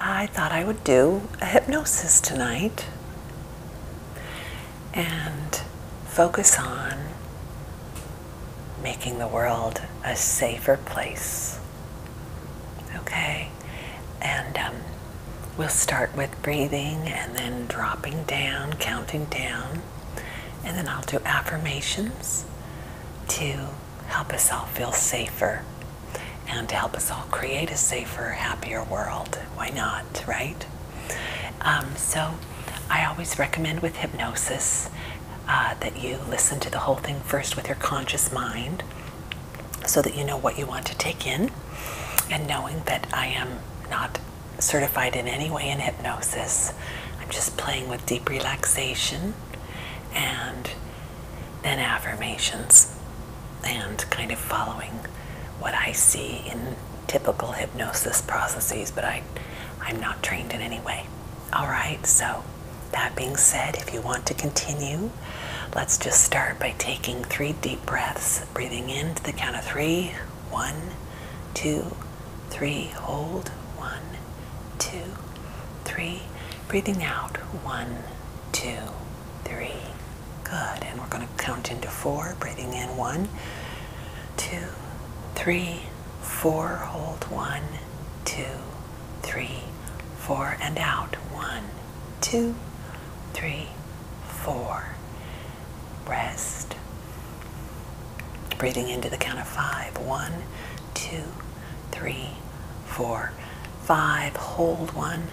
I thought I would do a hypnosis tonight and focus on making the world a safer place. Okay? And um, we'll start with breathing and then dropping down, counting down and then I'll do affirmations to help us all feel safer and to help us all create a safer, happier world. Why not, right? Um, so I always recommend with hypnosis uh, that you listen to the whole thing first with your conscious mind so that you know what you want to take in and knowing that I am not certified in any way in hypnosis. I'm just playing with deep relaxation and then affirmations and kind of following what I see in typical hypnosis processes, but I, I'm not trained in any way. All right, so that being said, if you want to continue, let's just start by taking three deep breaths, breathing in to the count of three. One, two, three. Hold. One, two, three. Breathing out. One, two, three. Good. And we're going to count into four. Breathing in. One, two, three, four. Hold. One, two, three, four. And out. One, two, three, four rest. Breathing into the count of five: one, two, three, four, five. Hold one,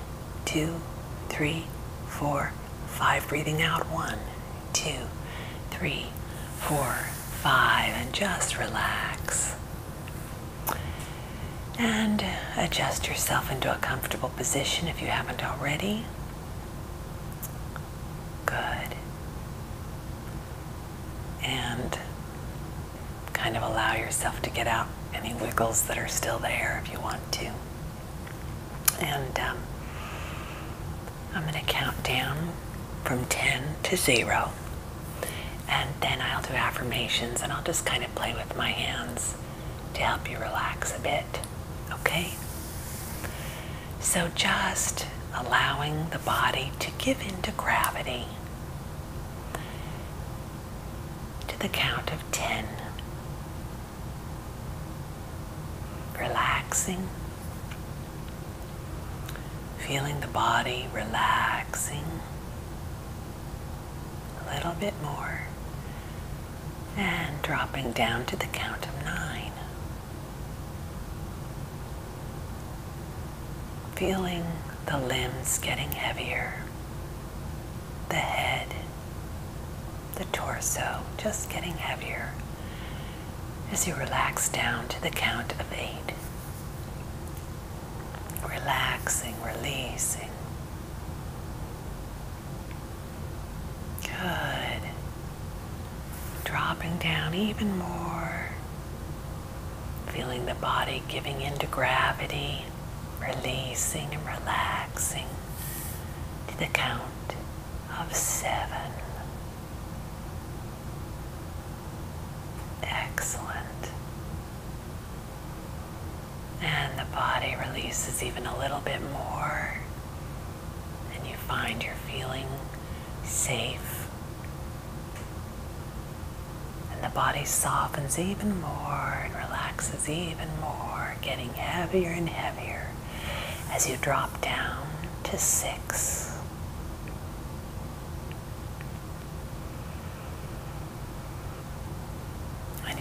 two, three, four, five. Breathing out. One, two, three, four, five. And just relax. And adjust yourself into a comfortable position if you haven't already good, and kind of allow yourself to get out any wiggles that are still there if you want to. And um, I'm going to count down from 10 to 0. And then I'll do affirmations and I'll just kind of play with my hands to help you relax a bit okay? So just allowing the body to give in to gravity to the count of 10. Relaxing, feeling the body relaxing a little bit more and dropping down to the count of nine. Feeling the limbs getting heavier, the head, the torso just getting heavier as you relax down to the count of eight. Relaxing, releasing. Good. Dropping down even more. Feeling the body giving in to gravity, releasing and relaxing to the count of seven. Excellent. And the body releases even a little bit more and you find you're feeling safe. And the body softens even more and relaxes even more, getting heavier and heavier as you drop down to six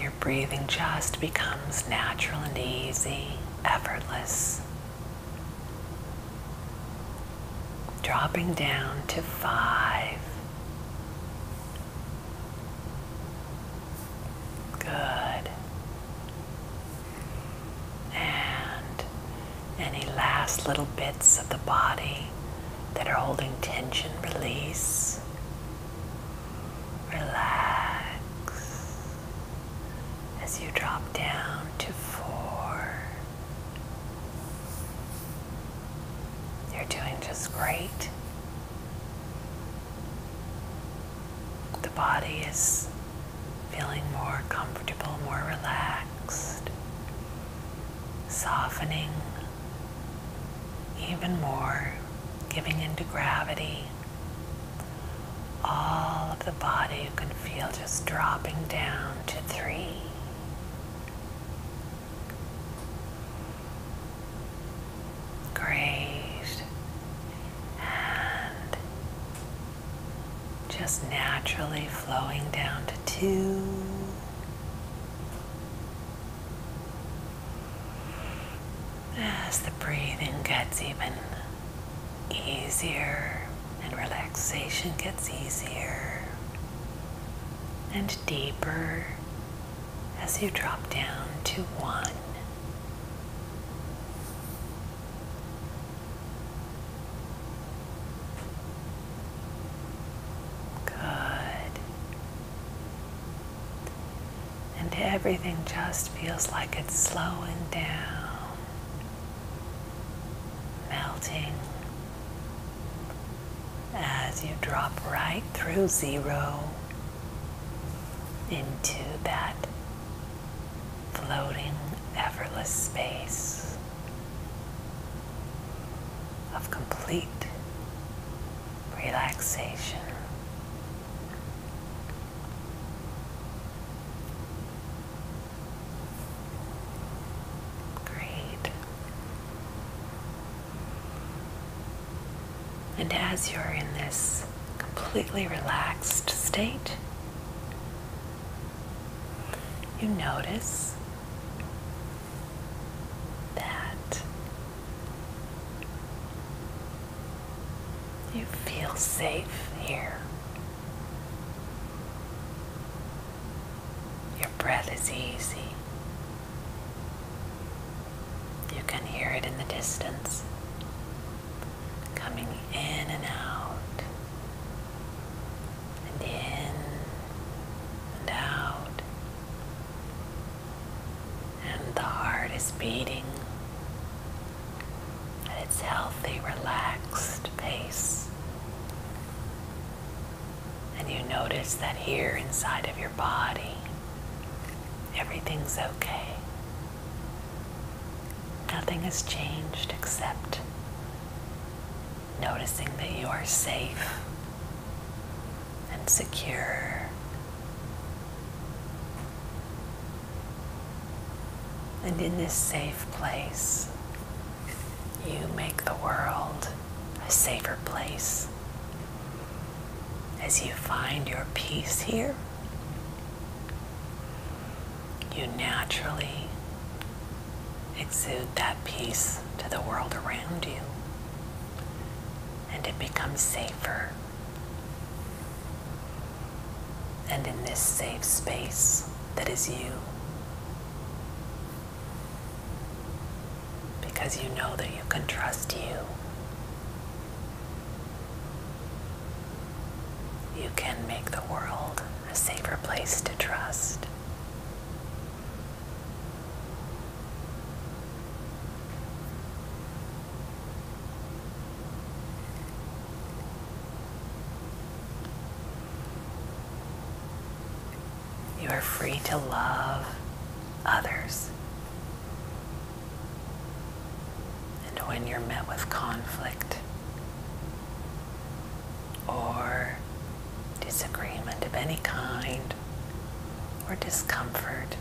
your breathing just becomes natural and easy, effortless. Dropping down to five. Good. And any last little bits of the body that are holding tension, release. Relax as you drop down to four. You're doing just great. The body is feeling more comfortable, more relaxed, softening even more, giving into gravity. All of the body you can feel just dropping down to three. Great. And just naturally flowing down to two as the breathing gets even easier and relaxation gets easier and deeper as you drop down to one. Good. And everything just feels like it's slowing down, melting as you drop right through zero into that floating, effortless space of complete relaxation. Great. And as you're in this completely relaxed state, you notice that you feel safe here. Your breath is easy. You can hear it in the distance, coming in and out, and in and out and the heart is beating at its healthy, relaxed pace. And you notice that here inside of your body, everything's okay. Nothing has changed except noticing that you are safe and secure. And in this safe place, you make the world a safer place. As you find your peace here, you naturally exude that peace to the world around you and it becomes safer. And in this safe space that is you, because you know that you can trust you. You can make the world a safer place to trust. You are free to love others. And when you're met with conflict or disagreement of any kind or discomfort,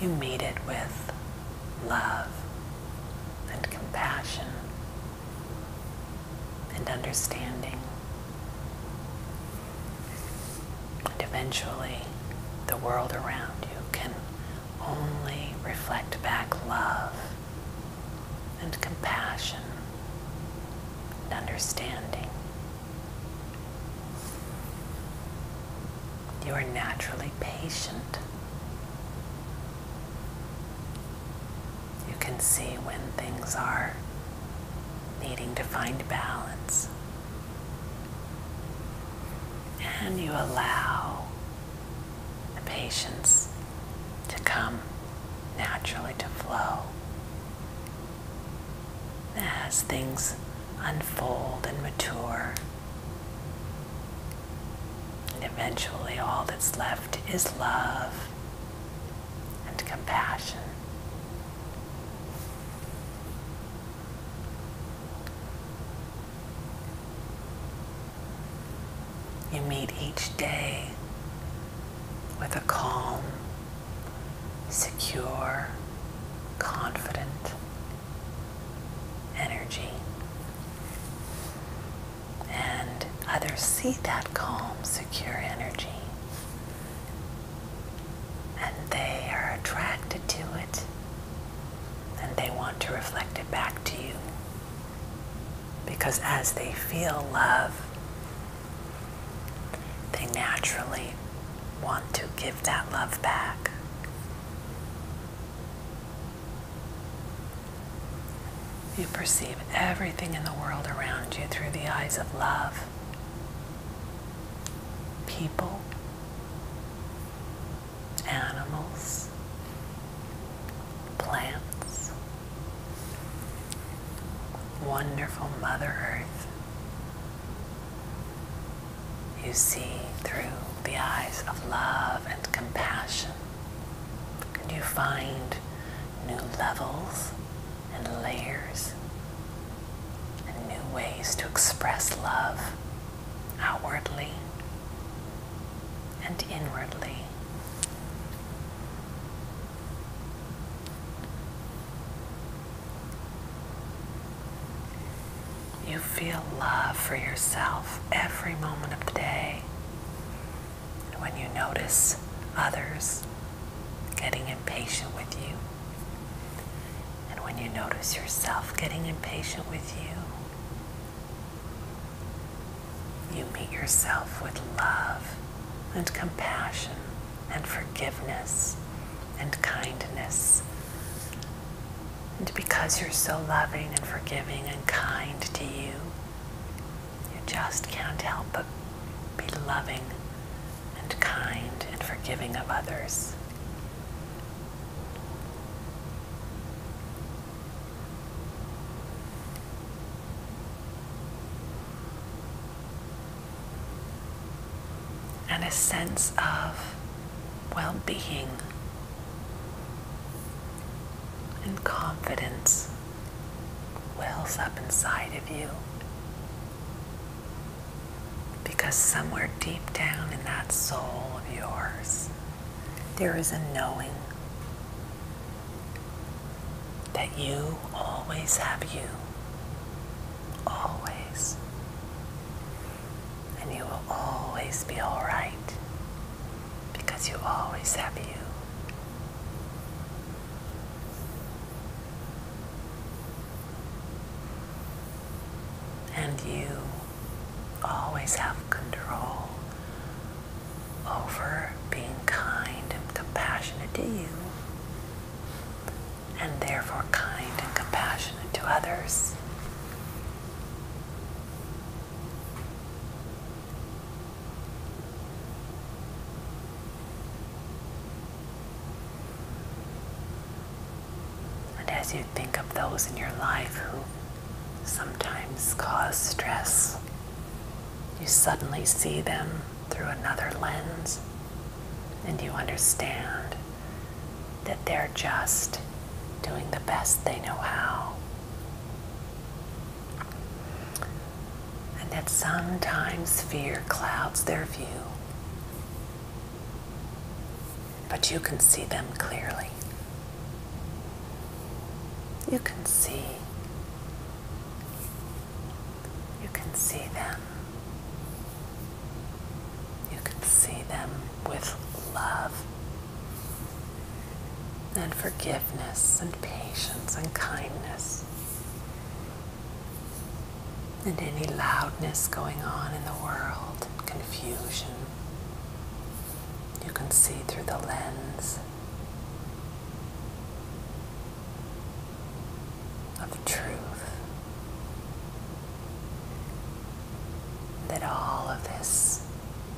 you meet it with love and compassion and understanding. And eventually, the world around you can only reflect back love and compassion and understanding you are naturally patient. You can see when things are needing to find balance. And you allow the patience to come naturally to flow as things unfold and mature. And eventually, all that's left is love and compassion. You meet each day with a calm secure, confident energy. And others see that calm, secure energy and they are attracted to it and they want to reflect it back to you. Because as they feel love, they naturally want to give that love back. You perceive everything in the world around you through the eyes of love. People, animals, plants, wonderful Mother Earth. You see through the eyes of love and compassion. And you find new levels and layers and new ways to express love outwardly and inwardly. You feel love for yourself every moment of the day. And when you notice others getting impatient with you, and when you notice yourself getting impatient with you, you meet yourself with love and compassion and forgiveness and kindness. And because you're so loving and forgiving and kind to you, you just can't help but be loving and kind and forgiving of others and a sense of well being and confidence wells up inside of you because somewhere deep down in that soul of yours there is a knowing that you always have you. Always. And you will always be alright because you always have you. And you always have control over being kind and compassionate to you and therefore kind and compassionate to others. And as you think of those in your life who sometimes cause stress, you suddenly see them through another lens and you understand that they're just doing the best they know how. And that sometimes fear clouds their view, but you can see them clearly. You can see you can see them. You can see them with love and forgiveness and patience and kindness. And any loudness going on in the world, confusion, you can see through the lens of truth. That all of this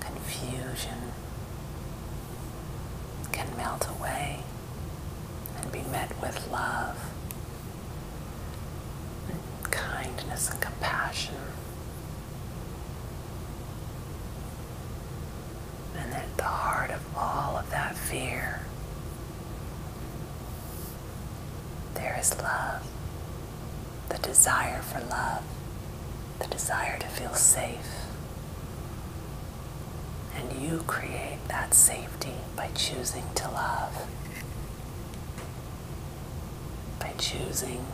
confusion can melt away and be met with love, and kindness, and compassion. And at the heart of all of that fear, there is love, the desire for love, the desire to feel safe. And you create that safety by choosing to love, by choosing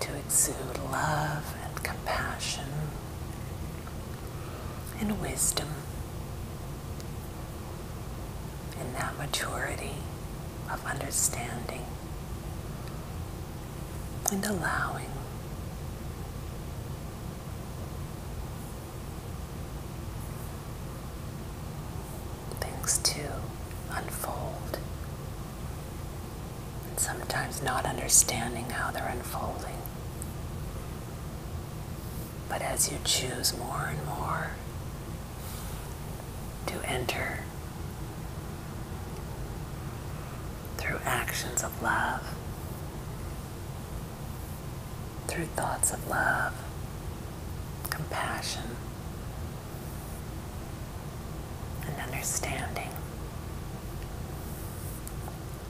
to exude love and compassion and wisdom and that maturity of understanding and allowing. Things to unfold, and sometimes not understanding how they're unfolding. But as you choose more and more to enter through actions of love, through thoughts of love, compassion, and understanding,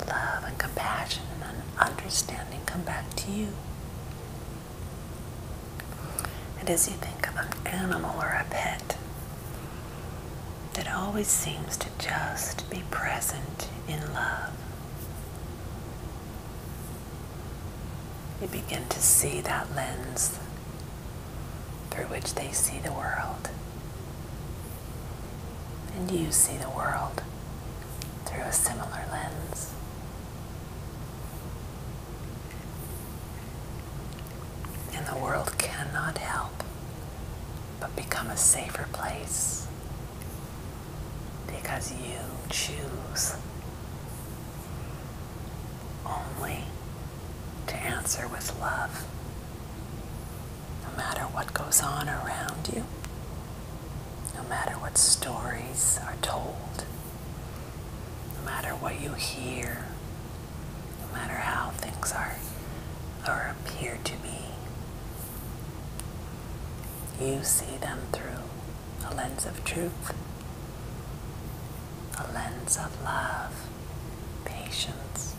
love and compassion and understanding come back to you. And as you think of an animal or a pet that always seems to just be present in love, you begin to see that lens through which they see the world. And you see the world through a similar lens. And the world cannot help but become a safer place because you choose only to answer with love no matter what goes on around you, no matter what stories are told, no matter what you hear, no matter how things are or appear to be, you see them through a lens of truth, a lens of love patience.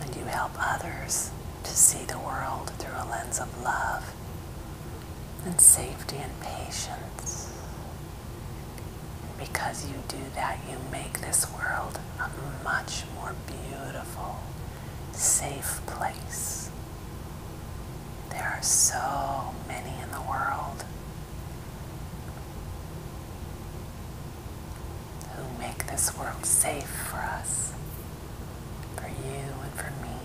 And you help others to see the world through a lens of love and safety and patience. And because you do that, you make this world a much more beautiful, safe place. There are so many in the world who make this world safe for us, for you and for me.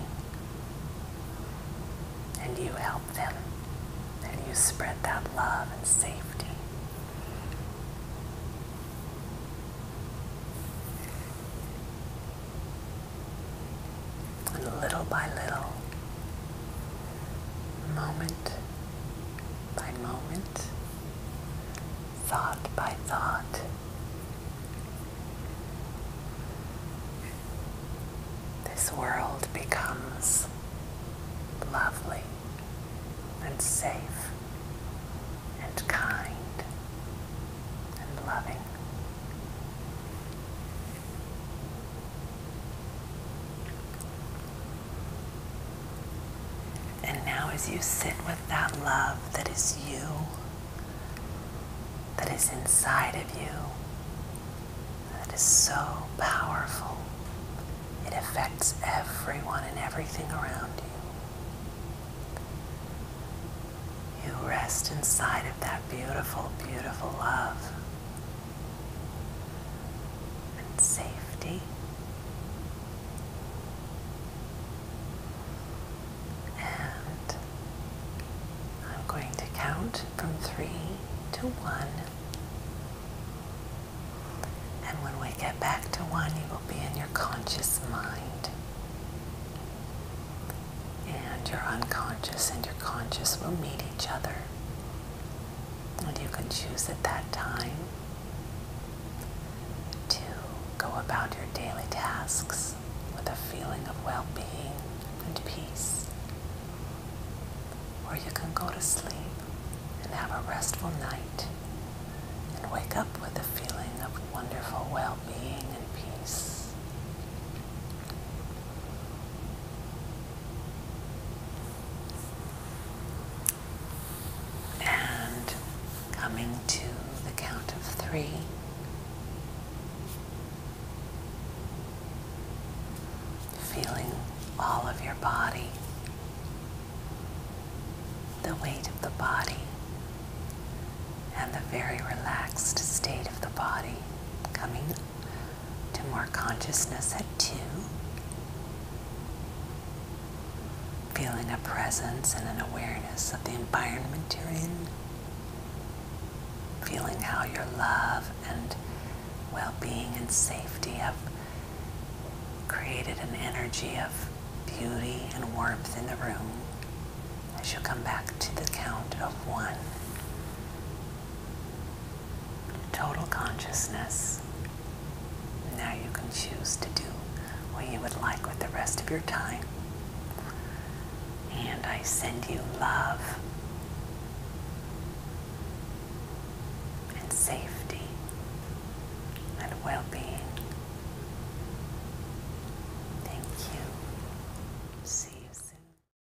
And you help them, and you spread that love and safety. And little by little, moment by moment, thought by thought. This world becomes lovely and safe and kind and loving. And now, as you sit with that love that is you, that is inside of you, that is so powerful, it affects everyone and everything around you. You rest inside of that beautiful, beautiful love and safety. And I'm going to count from three to one. And when we get back to one, you will be in your conscious mind. And your unconscious and your conscious will meet each other and you can choose at that time to go about your daily tasks with a feeling of well being and peace. Or you can go to sleep and have a restful night and wake up with a feeling of wonderful well being and peace. And coming to the count of three, feeling all of your body, the weight of the body, and the very relaxed state of the body coming to more consciousness at 2. Feeling a presence and an awareness of the environment you're in. Feeling how your love and well-being and safety have created an energy of beauty and warmth in the room as you come back to the count of one total consciousness. Now you can choose to do what you would like with the rest of your time. And I send you love and safety and well-being. Thank you. See you soon.